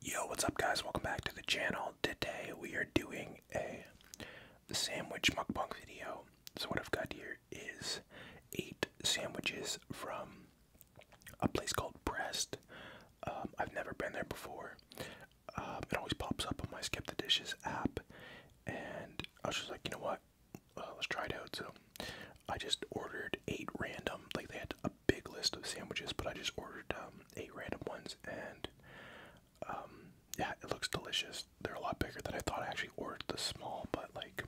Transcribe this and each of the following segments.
Yo, what's up, guys? Welcome back to the channel. Today we are doing a sandwich mukbang video. So, what I've got here is eight sandwiches from a place called Breast. Um, I've never been there before. Um, it always pops up on my Skip the Dishes app, and I was just like, you know what? Uh, let's try it out. So, I just ordered eight random, like, they had big list of sandwiches, but I just ordered um, eight random ones, and um, yeah, it looks delicious. They're a lot bigger than I thought. I actually ordered the small, but like,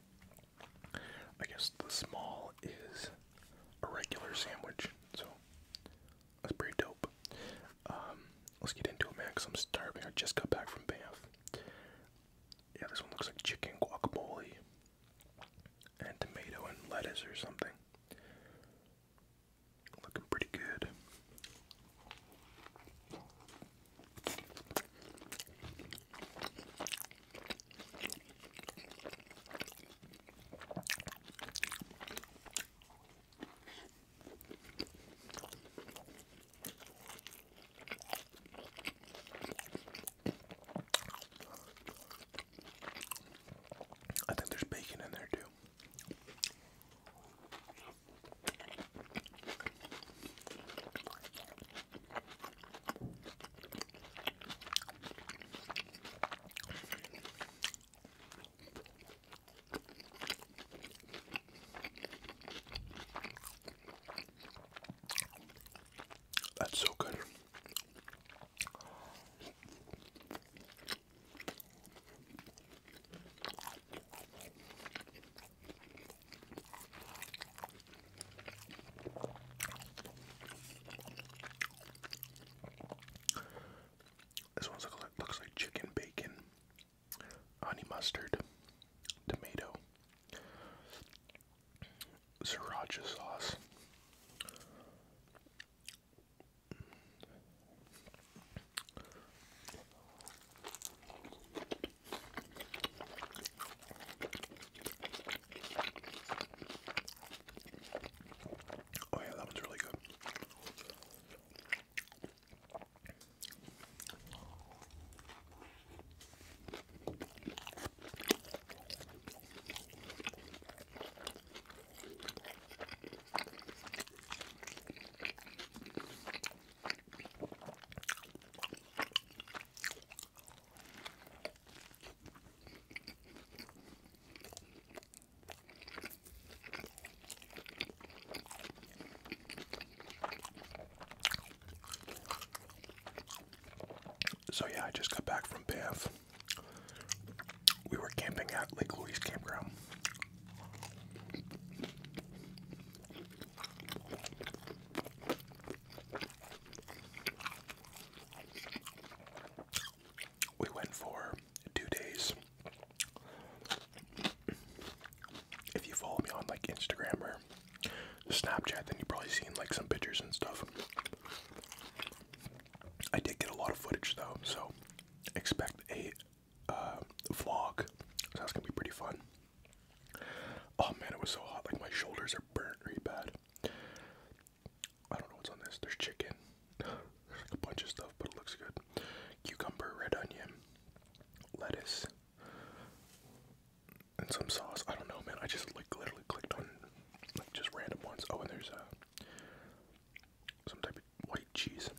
I guess the small is a regular sandwich, so that's pretty dope. Um, let's get into it, man, because I'm starving. I just got back from Bath. Yeah, this one looks like chicken guacamole and tomato and lettuce or something. Looking pretty good. I think there's bacon in there too. That's so good. This one looks like chicken bacon, honey mustard, tomato, sriracha sauce, Oh, yeah, that one's really good. So, yeah, I just got back from bath we were camping at Lake Louise Campground. We went for two days. If you follow me on like Instagram or Snapchat, then you've probably seen like some pictures and stuff. I did get a lot of footage though, so expect a uh, vlog. So that's gonna be pretty fun. Oh man, it was so hot. Like my shoulders are burnt really bad. I don't know what's on this. There's chicken. There's like a bunch of stuff, but it looks good. Cucumber, red onion, lettuce, and some sauce. I don't know, man. I just like literally clicked on like just random ones. Oh, and there's a uh, some type of white cheese.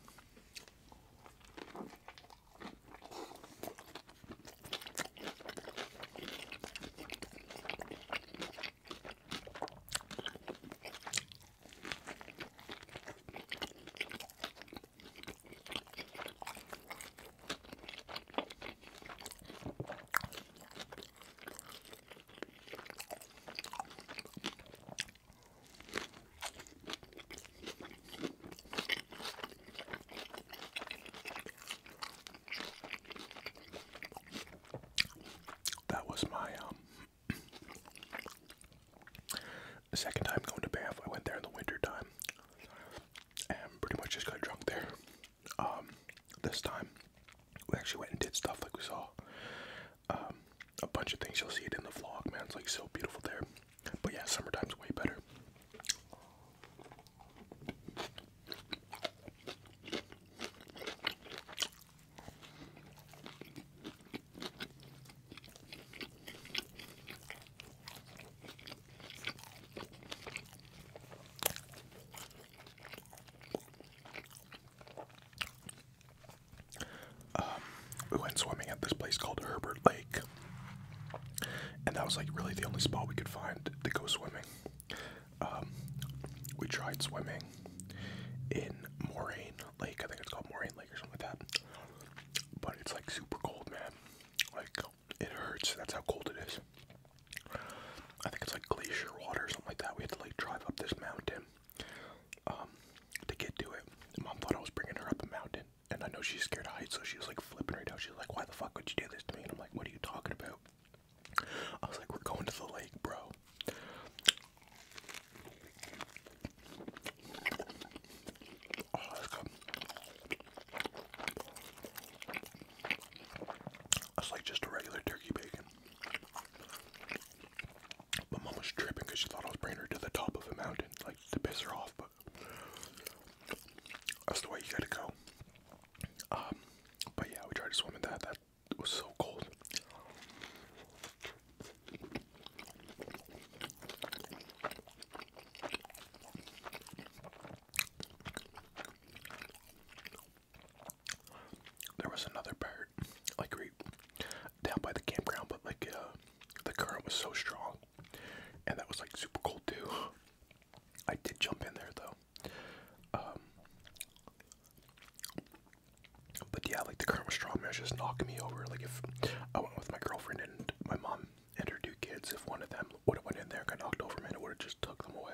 That was my um, second time going to Bath. I went there in the winter time and pretty much just got drunk there. Um, this time we actually went and did stuff like we saw um, a bunch of things. You'll see it in the vlog, man. It's like so beautiful there. But yeah, summertime's way better. Um, we went swimming at this place called Herbert Lake, and that was like really the only spot we could find to go swimming. Um, we tried swimming in Moraine Lake, I think it's called Moraine Lake or something like that, but it's like super cold, man. Like, it hurts, that's how cold it is. I think it's like glacier water or something like that. We had to like drive up this mountain um, to get to it. Mom thought I was bringing her up a mountain, and I know she's scared of heights, so she was like flipping right out. She's like, "Why the fuck would you do this to me?" And I'm like, "What are you talking about?" I was like, "We're going to the lake, bro." Oh, That's like just a regular turkey bacon. My mom was tripping because she thought I was bringing her to the top of a mountain, like to piss her off, but that's the way you gotta go. Um, but yeah, we tried to swim in that. That was so cold. There was another bird, like right down by the campground, but like uh, the current was so strong, and that was like super cold too. I did jump in there though. Um, but yeah, like the current was strong, man, it was just knocking me over. Like if I went with my girlfriend and my mom and her two kids, if one of them would have went in there, got knocked over, and it would have just took them away.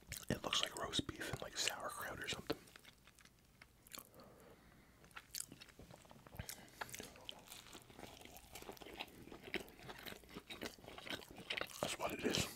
It looks like roast beef and like sauerkraut or something. That's what it is.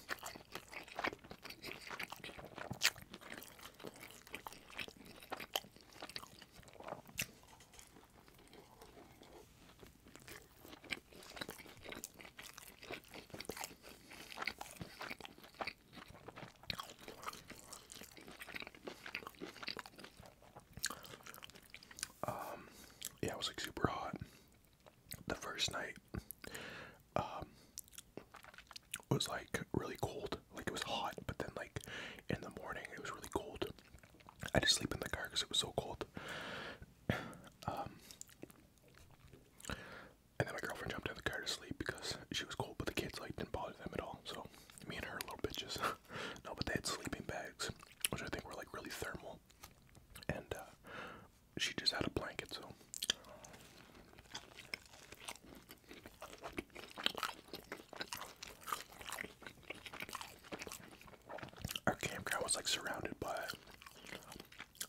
Um, yeah, it was like super hot the first night. Um, it was like really cold, like it was hot, but then like in the morning it was really cold. I had to sleep in the car because it was so cold. Um, and then my girlfriend jumped out of the car to sleep because she was cold, but the kids like didn't bother them at all. So me and her little bitches. no, but they had sleeping bags, which I think were like really thermal. And uh, she just had a blanket, so. Our campground was like surrounded by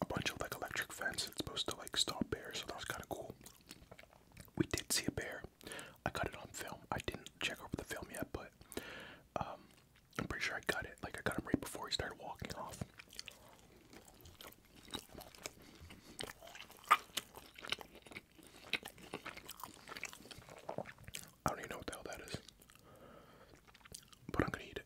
a bunch of like electric fence that's supposed to like stop bears, so that was kind of cool. We did see a bear. I got it on film. I didn't check over the film yet, but um, I'm pretty sure I got it. Like I got him right before he started walking off. I don't even know what the hell that is, but I'm gonna eat it.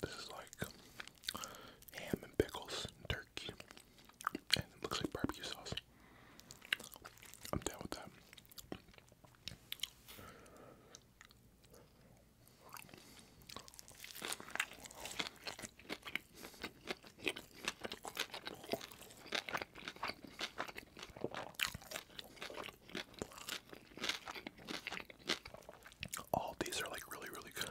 This is like ham and pickles turkey. And it looks like barbecue sauce. I'm down with that. All oh, these are like really, really good.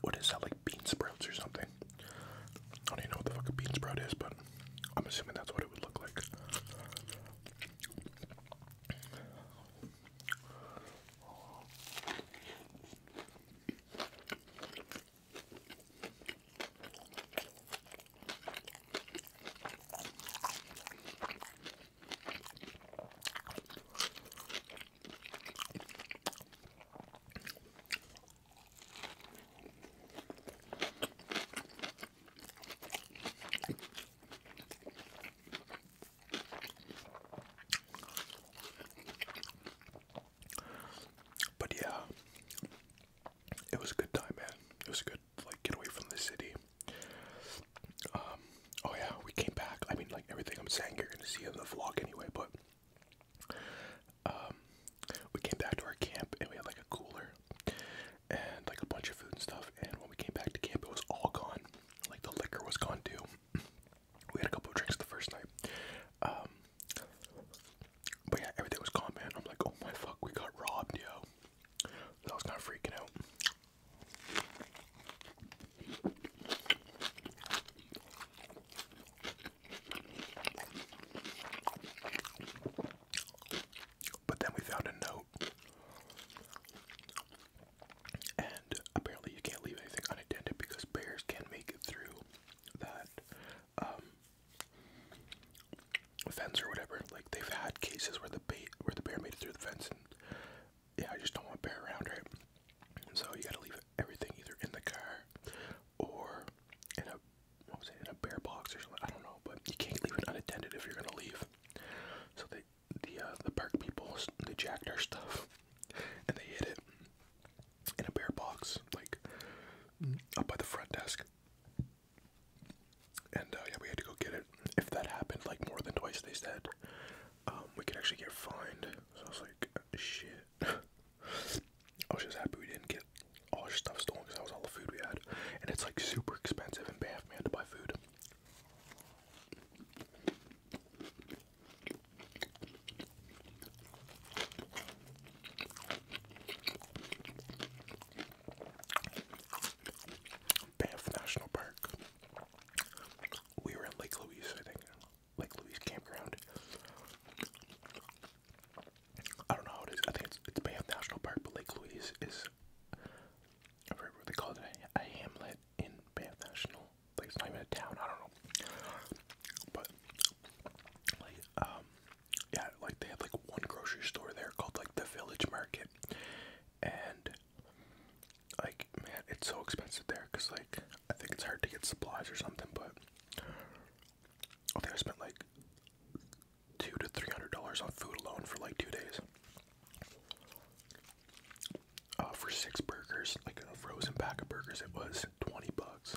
What is that, like bean sprouts or something? I don't even know what the fuck a bean sprout is, but I'm assuming that's what it would look like. But yeah, it was a good time, man. It was a good, like, get away from the city. Um, oh yeah, we came back. I mean, like everything I'm saying, you're gonna see in the vlog anyway. But um, we came back to our camp and we had like a cooler and like a bunch of food and stuff. And when we came back to camp, it was all gone. Like the liquor was gone too. We had a couple of drinks the first night. Um, but yeah, everything was gone, man. I'm like, oh my fuck, we got robbed, yo. So I was kind of freaking out. But then we found a note, and apparently you can't leave anything unattended because bears can make it through that um, fence or whatever. Like they've had cases where the bait, where the bear made it through the fence and yeah, I just don't want bear around, right? So you got to leave everything either in the car or in a what was it, in a bear box or something. I don't know, but you can't leave it unattended if you're gonna leave. So they, the uh, the park people, they jacked our stuff and they hid it in a bear box, like up by the front desk. And uh, yeah, we had to go get it. If that happened like more than twice, they said um, we could actually get fined. So I was like, shit. I was just happy we didn't get all our stuff stolen because that was all the food we had. And it's like super expensive in Banff, man, to buy food. Banff National Park we were in Lake Louise, I think, Lake Louise campground. I don't know how it is. I think it's, it's Banff National Park, but Lake Louise is. I forget what they call it. A, a hamlet in Banff National. Like it's not even a town. I don't know. But like um, yeah, like they had like one grocery store there called like the Village Market, and like man, it's so expensive there because like I think it's hard to get supplies or something. But I think I spent like two to three hundred dollars on food alone for like two days. Uh, for six burgers, like a frozen pack of burgers, it was twenty bucks.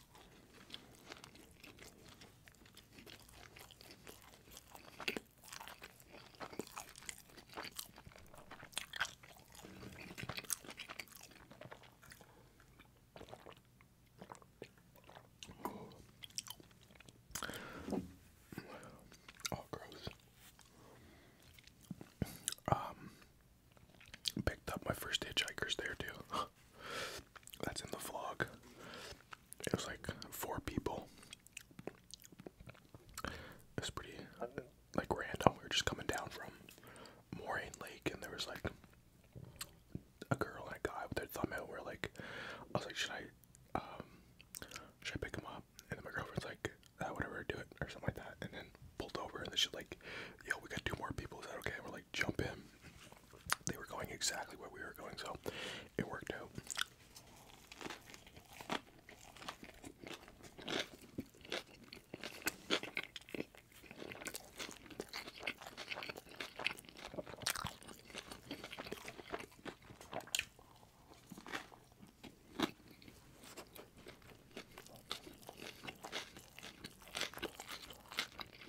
Oh, gross. Um, picked up my first hitchhikers there too. that's in the vlog. It was like four people. It's pretty like random. We were just coming down from Moraine Lake, and there was like a girl and a guy with their thumb out. Where like I was like, should I, um, should I pick him up? And then my girlfriend's like, ah, whatever, do it or something like that. And then pulled over, and then she's like, yo, we got two more people. Is that okay? we're like, jump in they were going exactly where we were going, so it worked out.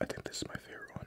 I think this is my favorite one.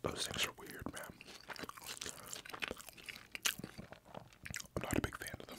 Those things are weird, man. I'm not a big fan of them.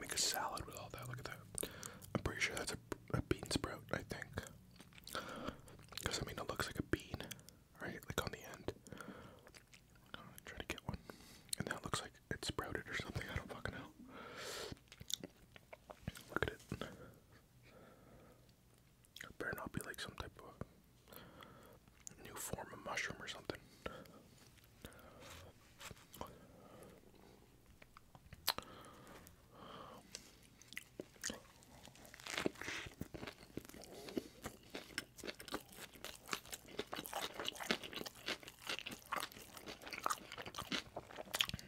make a salad with all that. Look at that. I'm pretty sure that's a, a bean sprout, I think. Because, I mean, it looks like a bean, right? Like on the end. try to get one. And that looks like it sprouted or something. I don't fucking know. Look at it. Better not be like some type of new form of mushroom or something.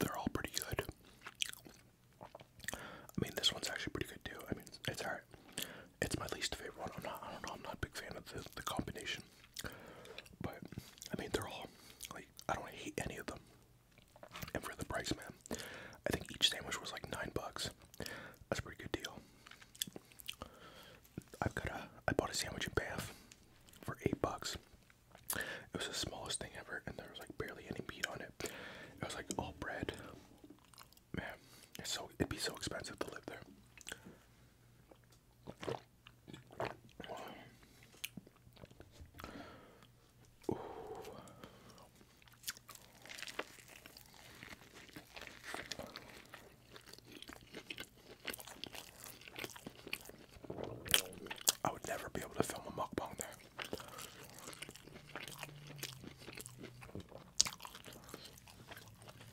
They're all pretty good. I mean, this one's actually pretty good too. I mean, it's, alright. It's my least favorite one. I'm not. don't know. I'm not a big fan of the, the combination. But I mean, they're all like I don't hate any of them. And for the price, man, I think each sandwich was like nine bucks. That's a pretty good deal. I've got a. I bought a sandwich in Bath for eight bucks. It was the smallest thing ever, and there was like barely any meat on it. It was like all bread Man, it's so it'd be so expensive to live there. I would never be able to film a mukbang there.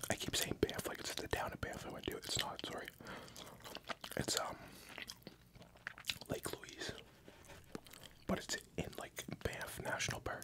I keep saying Banff like it's the town of Banff I went to. It's not, sorry. It's um Lake Louise. But it's in like Banff National Park,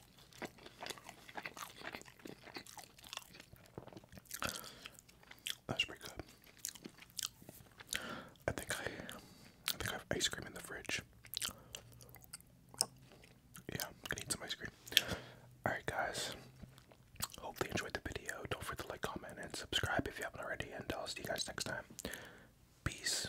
That's pretty good. I think I, I think I have ice cream in the fridge. Yeah, I'm gonna eat some ice cream. Alright guys, hope you enjoyed the video. Don't forget to like, comment, and subscribe if you haven't already, and I'll see you guys next time. Peace.